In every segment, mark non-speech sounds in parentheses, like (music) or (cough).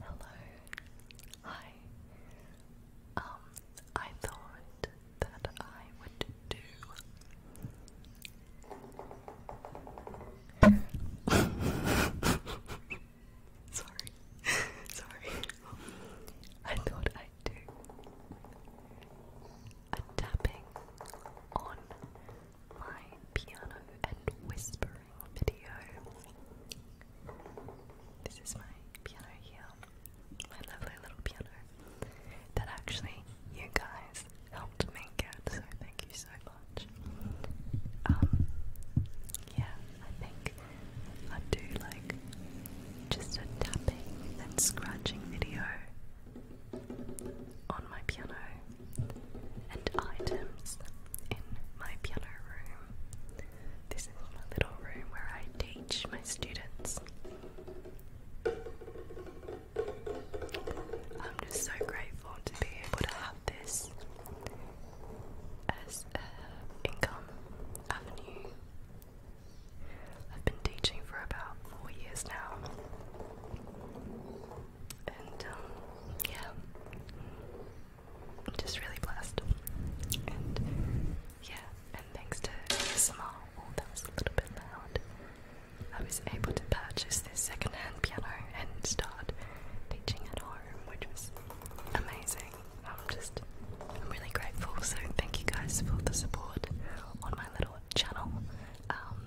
Hello. Hi. Um, I thought that I would do (laughs) Sorry. Sorry. I thought I'd do a tapping on my piano and whispering video. This is my piano here, my lovely little piano that actually you guys helped make it, so thank you so much. Um, yeah, I think I do like just a tapping and scratching video on my piano and items in my piano room. This is my little room where I teach my students. I'm just so grateful to be able to have this as an income avenue. I've been teaching for about four years now, and um, yeah, just really blessed. And yeah, and thanks to ASMR, oh, that was a little bit loud. I was able to purchase this second-hand piano and start teaching at home, which was amazing. I'm just, I'm really grateful. So thank you guys for the support on my little channel. Um,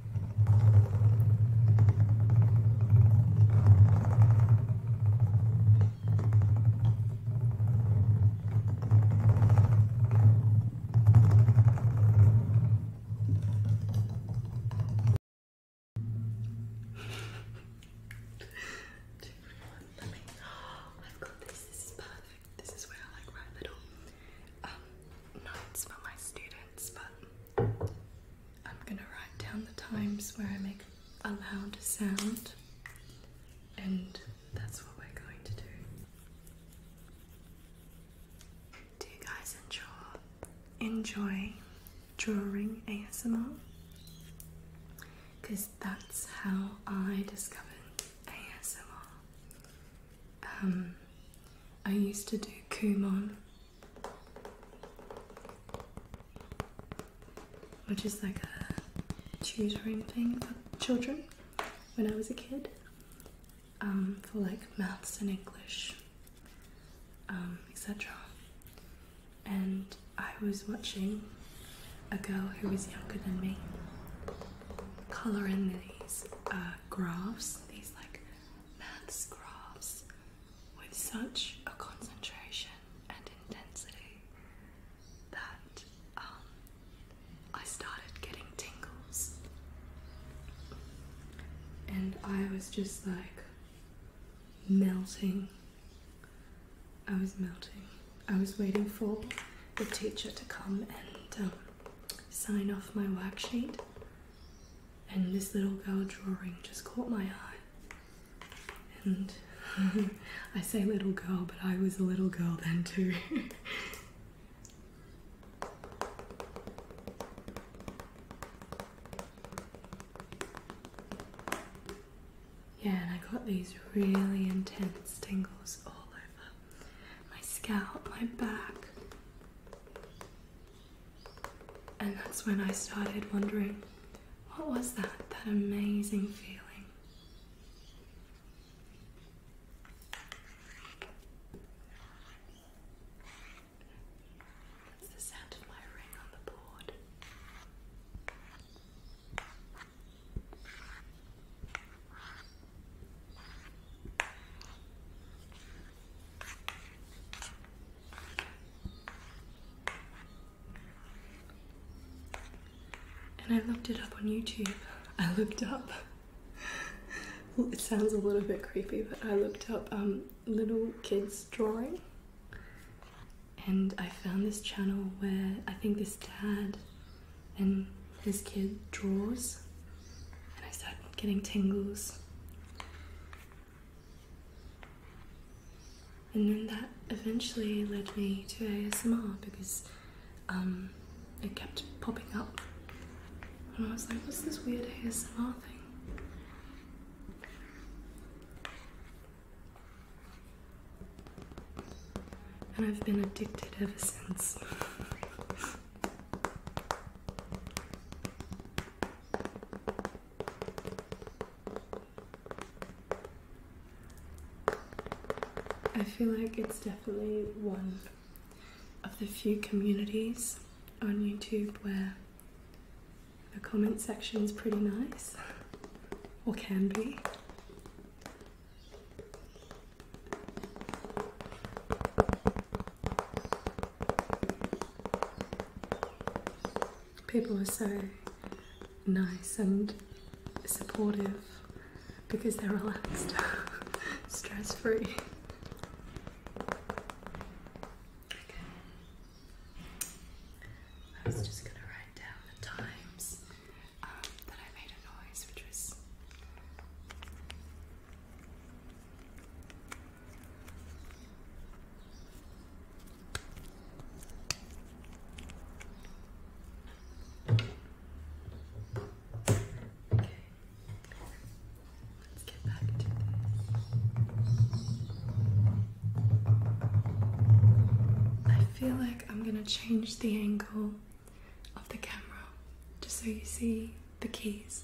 Let me. Oh, I've got this. This is perfect. This is where I like write little um, notes for my students, but I'm gonna write down the times where I make a loud sound, and that's what we're going to do. Do you guys enjoy enjoy drawing ASMR? Because that's how I discovered ASMR. Um, I used to do Kumon which is like a tutoring thing for children when I was a kid um, for like maths and English, um, etc. And I was watching a girl who was younger than me coloring these uh, graphs, these like maths graphs with such a concentration and intensity that um, I started getting tingles. And I was just like melting. I was melting. I was waiting for the teacher to come and um, sign off my worksheet and this little girl drawing just caught my eye. And (laughs) I say little girl, but I was a little girl then too. (laughs) yeah, and I got these really intense tingles all over my scalp, my back. And that's when I started wondering what was that, that amazing feeling? That's the sound of my ring on the board. And I looked it up on YouTube. I looked up. it sounds a little bit creepy, but I looked up um, little kids drawing, and I found this channel where I think this dad and his kid draws, and I started getting tingles. And then that eventually led me to ASMR because um, it kept popping up. And I was like, what's this weird ASMR thing? And I've been addicted ever since. (laughs) I feel like it's definitely one of the few communities on YouTube where the comment section is pretty nice, or can be. People are so nice and supportive because they're relaxed, (laughs) stress free. Okay. I was just going to write down the times um, that I made a noise, which was Let's get back to this. I feel like I'm going to change the angle of the camera just so you see the keys.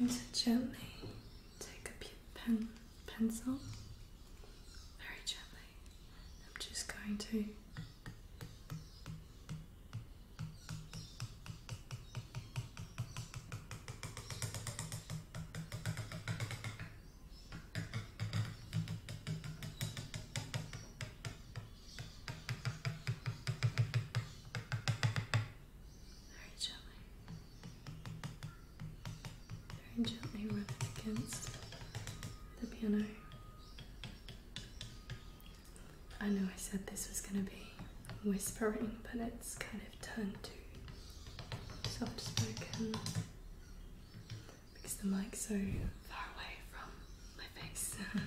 I'm going to gently take up your pen pencil very gently. I'm just going to very gently. Very gently rub it against the piano. I know I said this was going to be whispering, but it's kind of turned to soft spoken because the mic's so far away from my face. (laughs)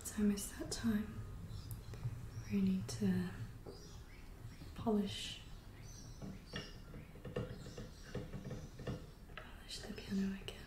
It's almost that time We need to polish polish the piano again.